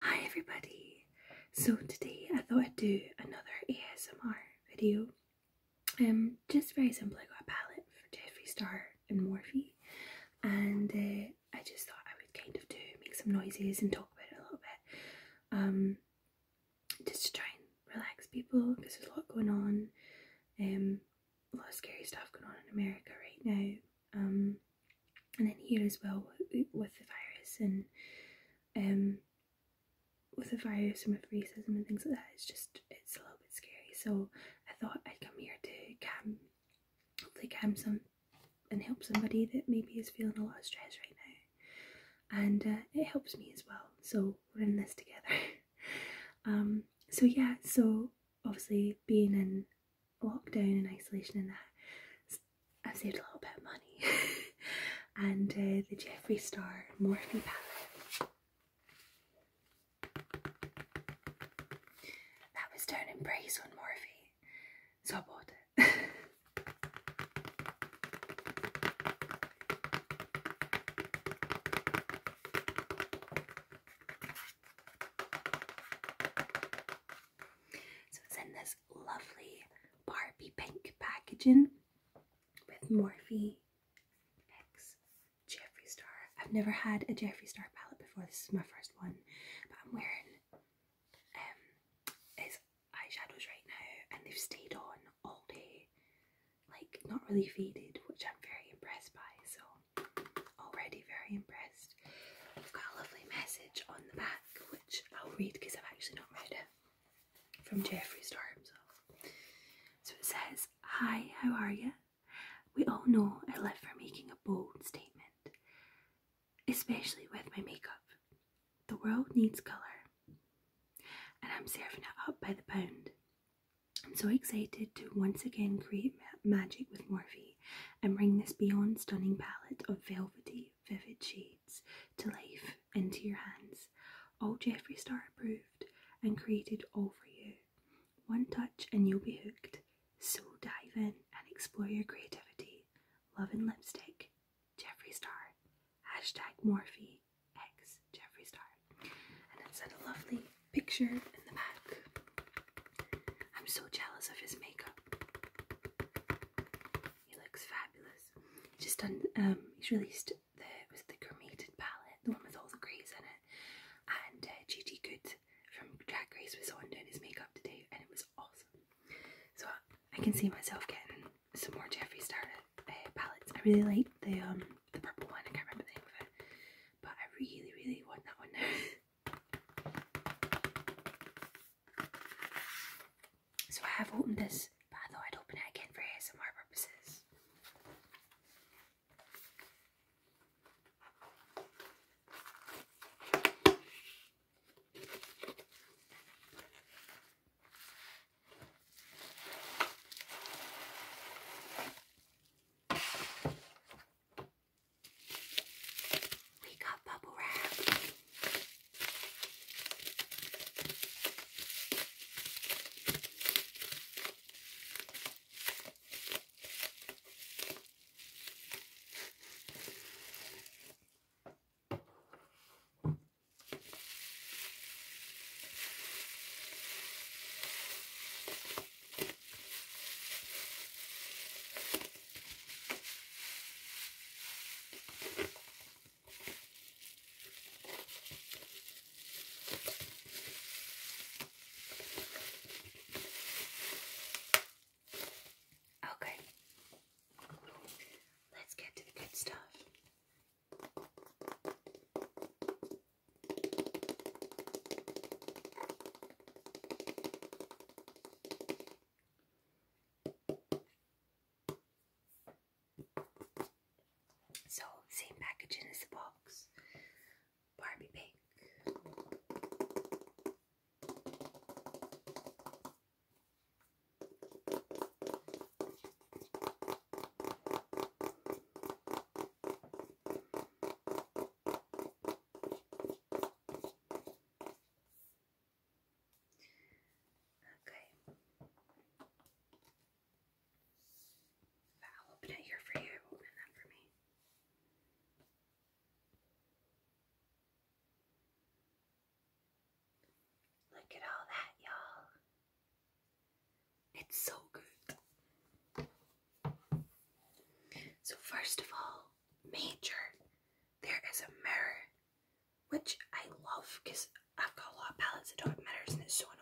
Hi everybody! So today I thought I'd do another ASMR video. Um, just very simply, I got a palette for Jeffree Star and Morphe and uh, I just thought I would kind of do, make some noises and talk about it a little bit. Um, just to try and relax people because there's a lot going on. Um, a lot of scary stuff going on in America right now um, and then here as well with the virus and um, with the virus and with racism and things like that, it's just it's a little bit scary. So I thought I'd come here to calm, hopefully calm some and help somebody that maybe is feeling a lot of stress right now, and uh, it helps me as well. So we're in this together. um, so yeah, so obviously being in Lockdown and isolation and that I've saved a little bit of money and uh, the Jeffree Star Morphe palette that was down in price on Morphe so I bought So it's in this lovely Barbie pink packaging with Morphe X Jeffree Star. I've never had a Jeffree Star palette before. This is my first one, but I'm wearing um his eyeshadows right now, and they've stayed on all day, like not really faded, which I'm very impressed by. So already very impressed i I've got a lovely message on the back, which I'll read because I've actually not read it, from Jeffree Star himself. So it says, Hi, how are you? We all know I live for making a bold statement, especially with my makeup. The world needs colour, and I'm serving it up by the pound. I'm so excited to once again create magic with Morphe and bring this beyond stunning palette of velvety, vivid shades to life into your hands. All Jeffree Star approved and created all for you. One touch and you'll be hooked. So dive in and explore your creativity. Love and lipstick, Jeffree Star. Hashtag Morphe X Jeffree Star. And it's a lovely picture in the back. I'm so jealous of his makeup. He looks fabulous. He's just done. Um, he's released the it was the cremated palette, the one with all the greys in it. And uh, Gigi Good from Drag Race was on doing his makeup today, and it was awesome. So I can see myself getting some more Jeffree Star uh, palettes. I really like the um the purple one. I can't remember the name of it, but I really really want that one now. So I have opened this, but I thought I'd open it again for ASMR purposes. We got bubble wrap. Okay, let's get to the good stuff. So, same packaging as the box. Barbie pink. Okay. I'll open it here for you and then for me. Look at all that, y'all. It's so good. So, first of all, major, there is a mirror, which I love because I've got a lot of palettes that don't have mirrors and it's so annoying.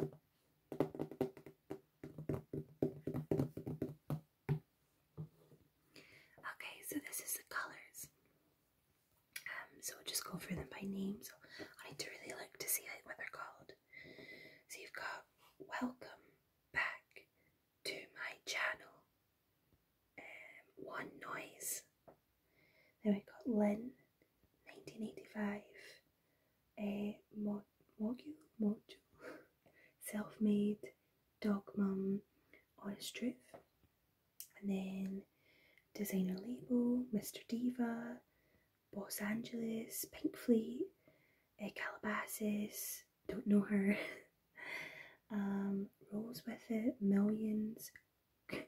Okay, so this is the colors. Um, so we'll just go through them by name. So I need to really look to see like, what they're called. So you've got welcome back to my channel. Um, one noise. Then we got Lynn, 1985 a mo- Mogu, Moju, self made, dog mum, honest truth, and then designer label, Mr. Diva, Los Angeles, Pink Fleet, a Calabasas, don't know her, um, Rolls with It, Millions,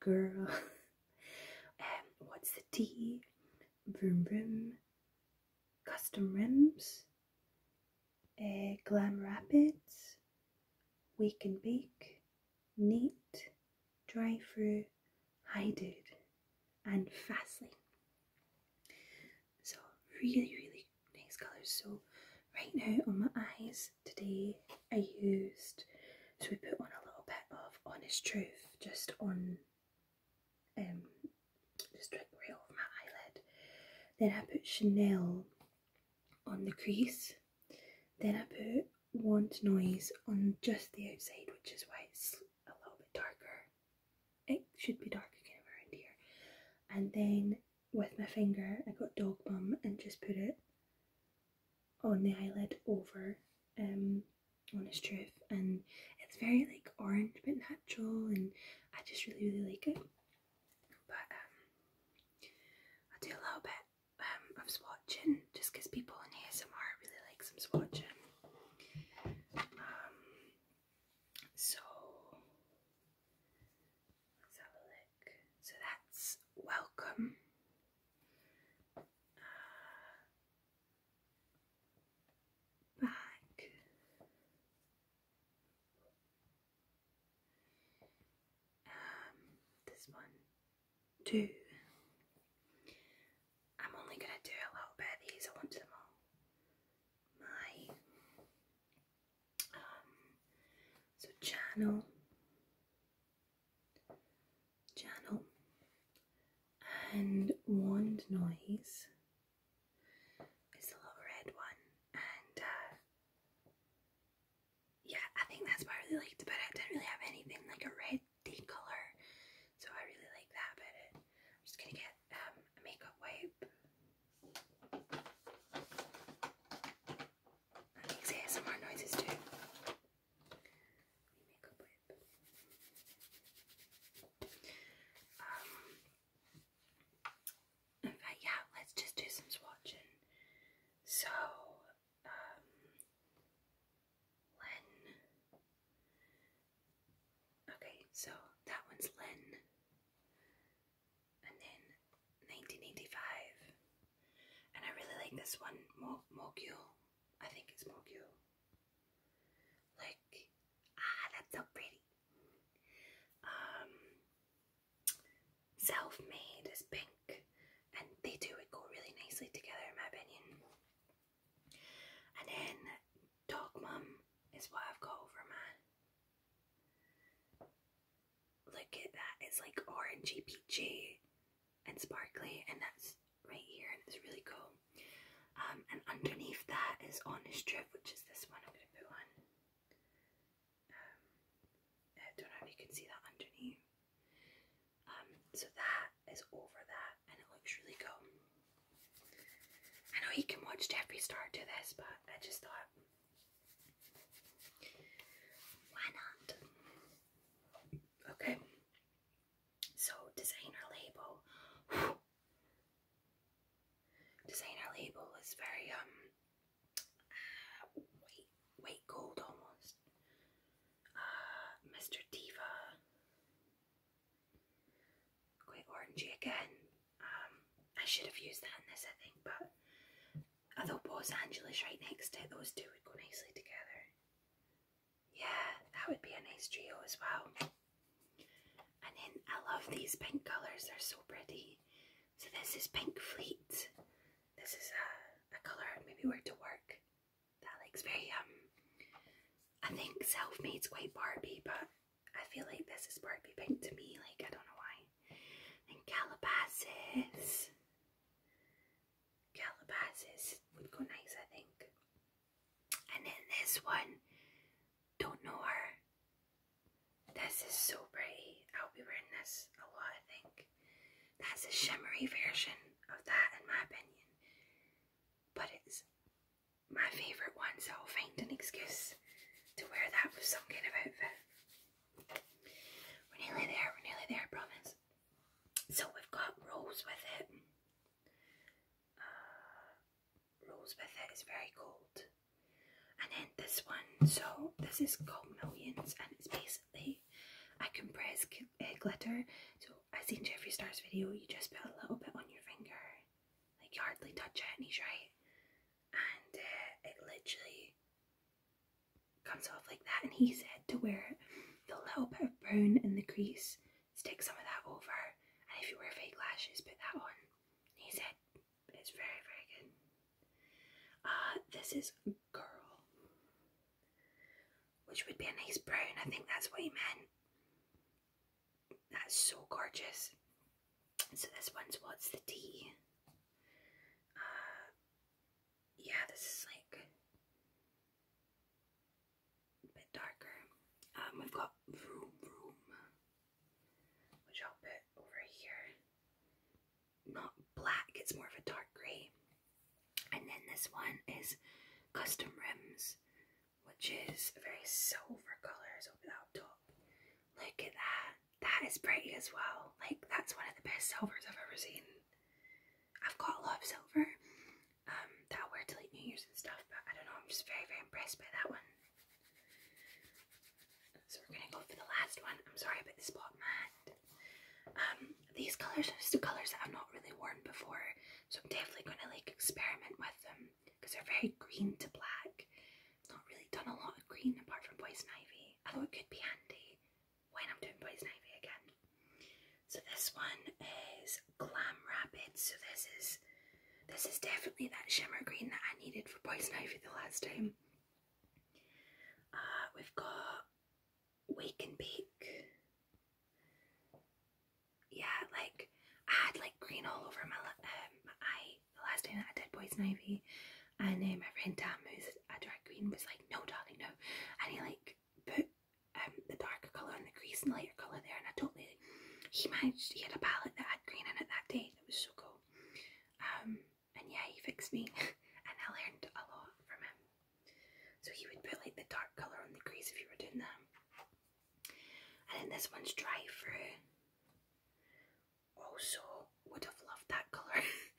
Girl, um, What's the Tea, Vroom Vroom, Custom Rims, uh, Glam Rapids, Wake and Bake, Neat, Dry Through, Hideout, and Fastly. So, really, really nice colours. So, right now on my eyes today, I used so we put on a little bit of Honest Truth just on um, strip right off my eyelid. Then I put Chanel on the crease. Then I put Want Noise on just the outside, which is why it's a little bit darker. It should be darker around here. And then with my finger, I got Dog Bum and just put it on the eyelid over um, honest truth and it's very like orange but natural and I just really really like it but um, I do a little bit um, of swatching just because people in ASMR really like some swatching um, so let's have a look so that's welcome uh, back. Um, this one, two. I'm only going to do a little bit of these, I want them all. My, um, so channel channel and wand noise It's a little red one and uh, yeah I think that's what I really liked about it. I didn't really have anything like a red deep colour so I really like that about it. I'm just gonna get um, a makeup wipe. That makes ASMR noises too. Um, yeah, let's just do some swatching. So, um, Len. Okay, so that one's Len. And then 1985. And I really like this one, Mo Mogul. I think it's Mogul. Look, ah, that's so pretty. Um, self-made is pink, and they do it go really nicely together, in my opinion. And then dog mum is what I've got over mine. Look at that, it's like orangey peachy and sparkly, and that's right here, and it's really cool. Um, and underneath that is on Honest strip, which is this one I'm going to put on. Um, I don't know if you can see that underneath. Um, so that is over that, and it looks really cool. I know he can watch Jeffrey Star do this, but I just thought, why not? Okay, so designer label. Designer label is very um uh, white gold almost. Uh, Mr. Diva. Quite orangey again. Um, I should have used that in this I think, but although Los Angeles right next to it, those two would go nicely together. Yeah, that would be a nice trio as well. And then I love these pink colours, they're so pretty. So this is Pink Fleet. This is a, a color maybe wear to work. That looks very, um, I think self-made's quite Barbie, but I feel like this is Barbie pink to me, like I don't know why. And Calabasas. Calabasas would go nice, I think. And then this one, don't know her. This is so pretty. I'll be wearing this a lot, I think. That's a shimmery version of that, in my opinion. But it's my favourite one, so I'll find an excuse to wear that with some kind of outfit. We're nearly there, we're nearly there, I promise. So we've got rolls with it. Uh, with it is very cold. And then this one, so this is called Millions, and it's basically I compress uh, glitter. So as seen Jeffree Star's video, you just put a little bit on your finger, like you hardly touch it, and he's right. And uh, it literally comes off like that and he said to wear the little bit of brown in the crease, stick some of that over and if you wear fake lashes put that on. He said it's very very good. Uh, this is girl which would be a nice brown, I think that's what he meant. That's so gorgeous. So this one's what's the tea? Uh, yeah, this is like a bit darker. Um, we've got Vroom Vroom, which I'll put over here. Not black, it's more of a dark grey. And then this one is Custom Rims, which is a very silver colors over the top. Look at that. That is pretty as well. Like, that's one of the best silvers I've ever seen. I've got a lot of silver um, that I wear to like New Year's and stuff, but I don't know, I'm just very, very impressed by that one. So we're gonna go for the last one. I'm sorry about the spot man. Um, these colours are just colours that I've not really worn before, so I'm definitely gonna like experiment with them because they're very green to black. I've not really done a lot of green apart from poison ivy, although it could be handy when I'm doing Boys Navy again. So this one is Glam Rapid. So this is this is definitely that shimmer green that I needed for Boys Navy the last time. Uh, we've got Wake and Bake. Yeah, like I had like green all over my, um, my the last time that I did Boys Navy, and then my friend Tam, who's a drag queen, was like, "No, darling, no," and he like put um, the darker colour on the crease and the lighter colour there, and I totally he managed. He had a palette that had green in it that day. That was so cool. Um, and yeah, he fixed me, and I learned a lot from him. So he would put like the dark colour on the crease if you were doing that. And then this one's dry fruit. Also, oh, would have loved that colour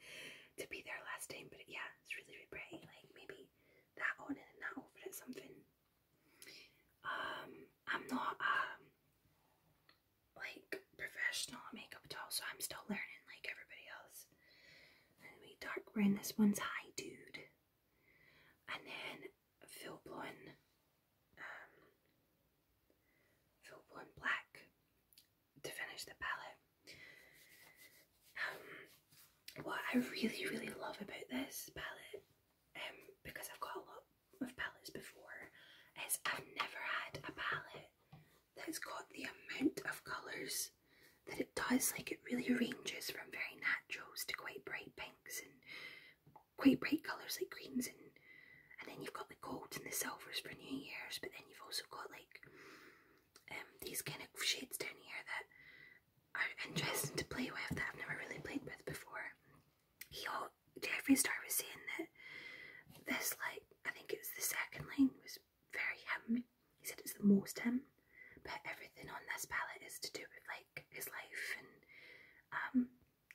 to be there last time, but yeah, it's really, really pretty. Like maybe that on and that over it, something. Um, I'm not um like professional makeup at so I'm still learning like everybody else. Anyway, dark brown. This one's high dude, and then full blonde, um, full blonde black, to finish the palette. Um, what I really, really love about this palette, um, because I've got a lot of palettes before, is I've never had a palette that's got the amount of colours that it does. Like it really ranges from very naturals to quite bright pinks and quite bright colours like greens and and then you've got the gold and the silvers for New Year's, but then you've also got like um, these kind of shades down here that are interesting to play with that I've never really played with before. He, Jeffrey Star was saying that this, like, I think it's the second line was very him. He said it's the most him, but everything on this palette is to do with like his life and um,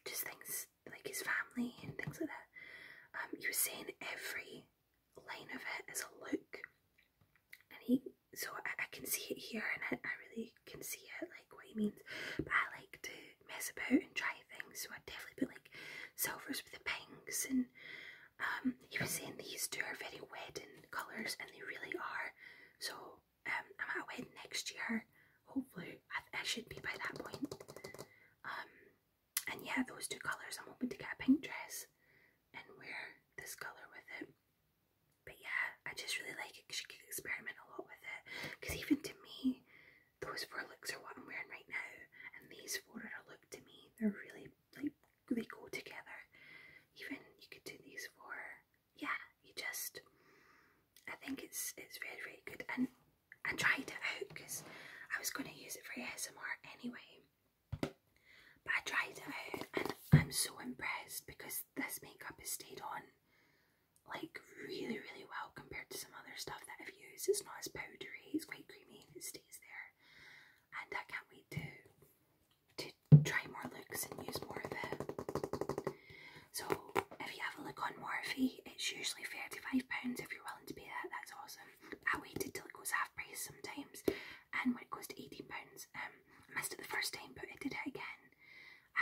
just things like his family and things like that. Um, he was saying every line of it is a look and he so I, can see it here and I, I really can see it like what he means but I like to mess about and try things so I definitely put like silvers with the pinks and um he was saying these two are very wedding colours and they really are so um I'm at a wedding next year hopefully I, I should be by that point um and yeah, those two colours. I'm hoping to get a pink dress and wear this colour with it. But yeah, I just really like it because you can experiment a lot with it. Because even to me, those four looks are what I'm wearing right now, and these four are a look to me. They're really like they go together. Even you could do these four. Yeah, you just. I think it's it's very very good, and I tried it out because I was going to use it for ASMR anyway. But I tried it and I'm so impressed because this makeup has stayed on like really, really well compared to some other stuff that I've used. It's not as powdery, it's quite creamy and it stays there. And I can't wait to to try more looks and use more of it. So if you have a look on Morphe, it's usually £35 if you're willing to pay that, that's awesome. I waited till it goes half price sometimes, and when it goes to eighteen pounds, um, I missed it the first time, but I did it again,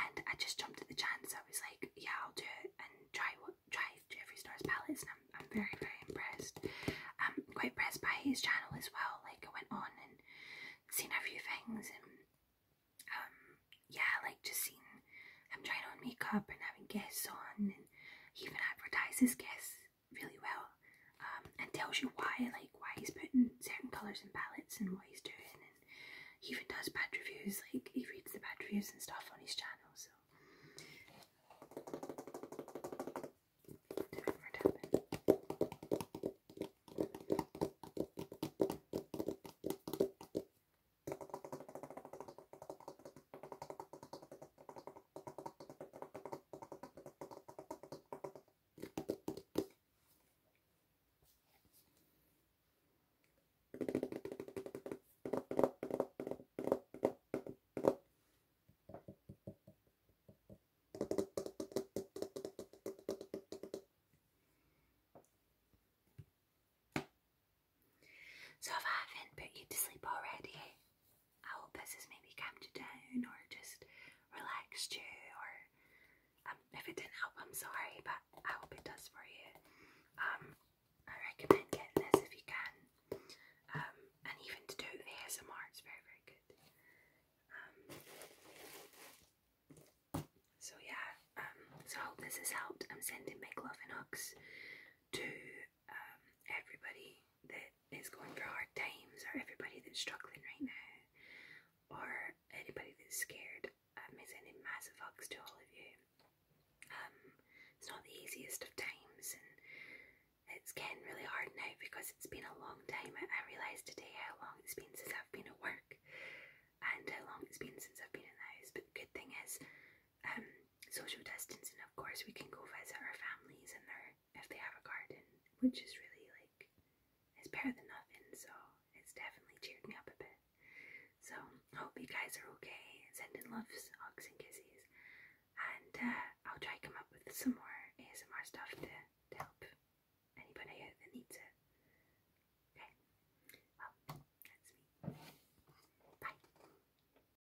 and I just jumped at the chance. I was like, yeah, I'll do it and try what try Jeffree Star's palettes, and I'm, I'm very very impressed. I'm quite impressed by his channel as well. Like I went on and seen a few things, and um, yeah, like just seen him trying on makeup and having guests on, and he even advertises guests really well um, and tells you why, like why he's putting certain colours and palettes and what he's doing. And he even does bad reviews, like he reads the bad reviews and stuff on his channel. So. So if I haven't put you to sleep already, I hope this has maybe calmed you down or just relaxed you or um, if it didn't help I'm sorry but I hope it does for you. Um, I recommend getting this if you can um, and even to do the it's very very good. Um, so yeah um, so I hope this has helped. I'm sending my love and hugs to um, everybody that is going through hard times, or everybody that's struggling right now, or anybody that's scared. I'm um, sending massive hugs to all of you. Um, it's not the easiest of times, and it's getting really hard now because it's been a long time. I, I realised today how long it's been since I've been at work and how long it's been since I've been in the house. But the good thing is, um, social distancing, of course, we can go visit our families and their if they have a garden, which is really like it's better than nothing. So it's definitely cheered me up a bit. So hope you guys are okay. Sending loves, hugs, and kisses, and uh, I'll try come up with some more ASMR stuff to, help anybody that needs it. Okay, well that's me. Bye.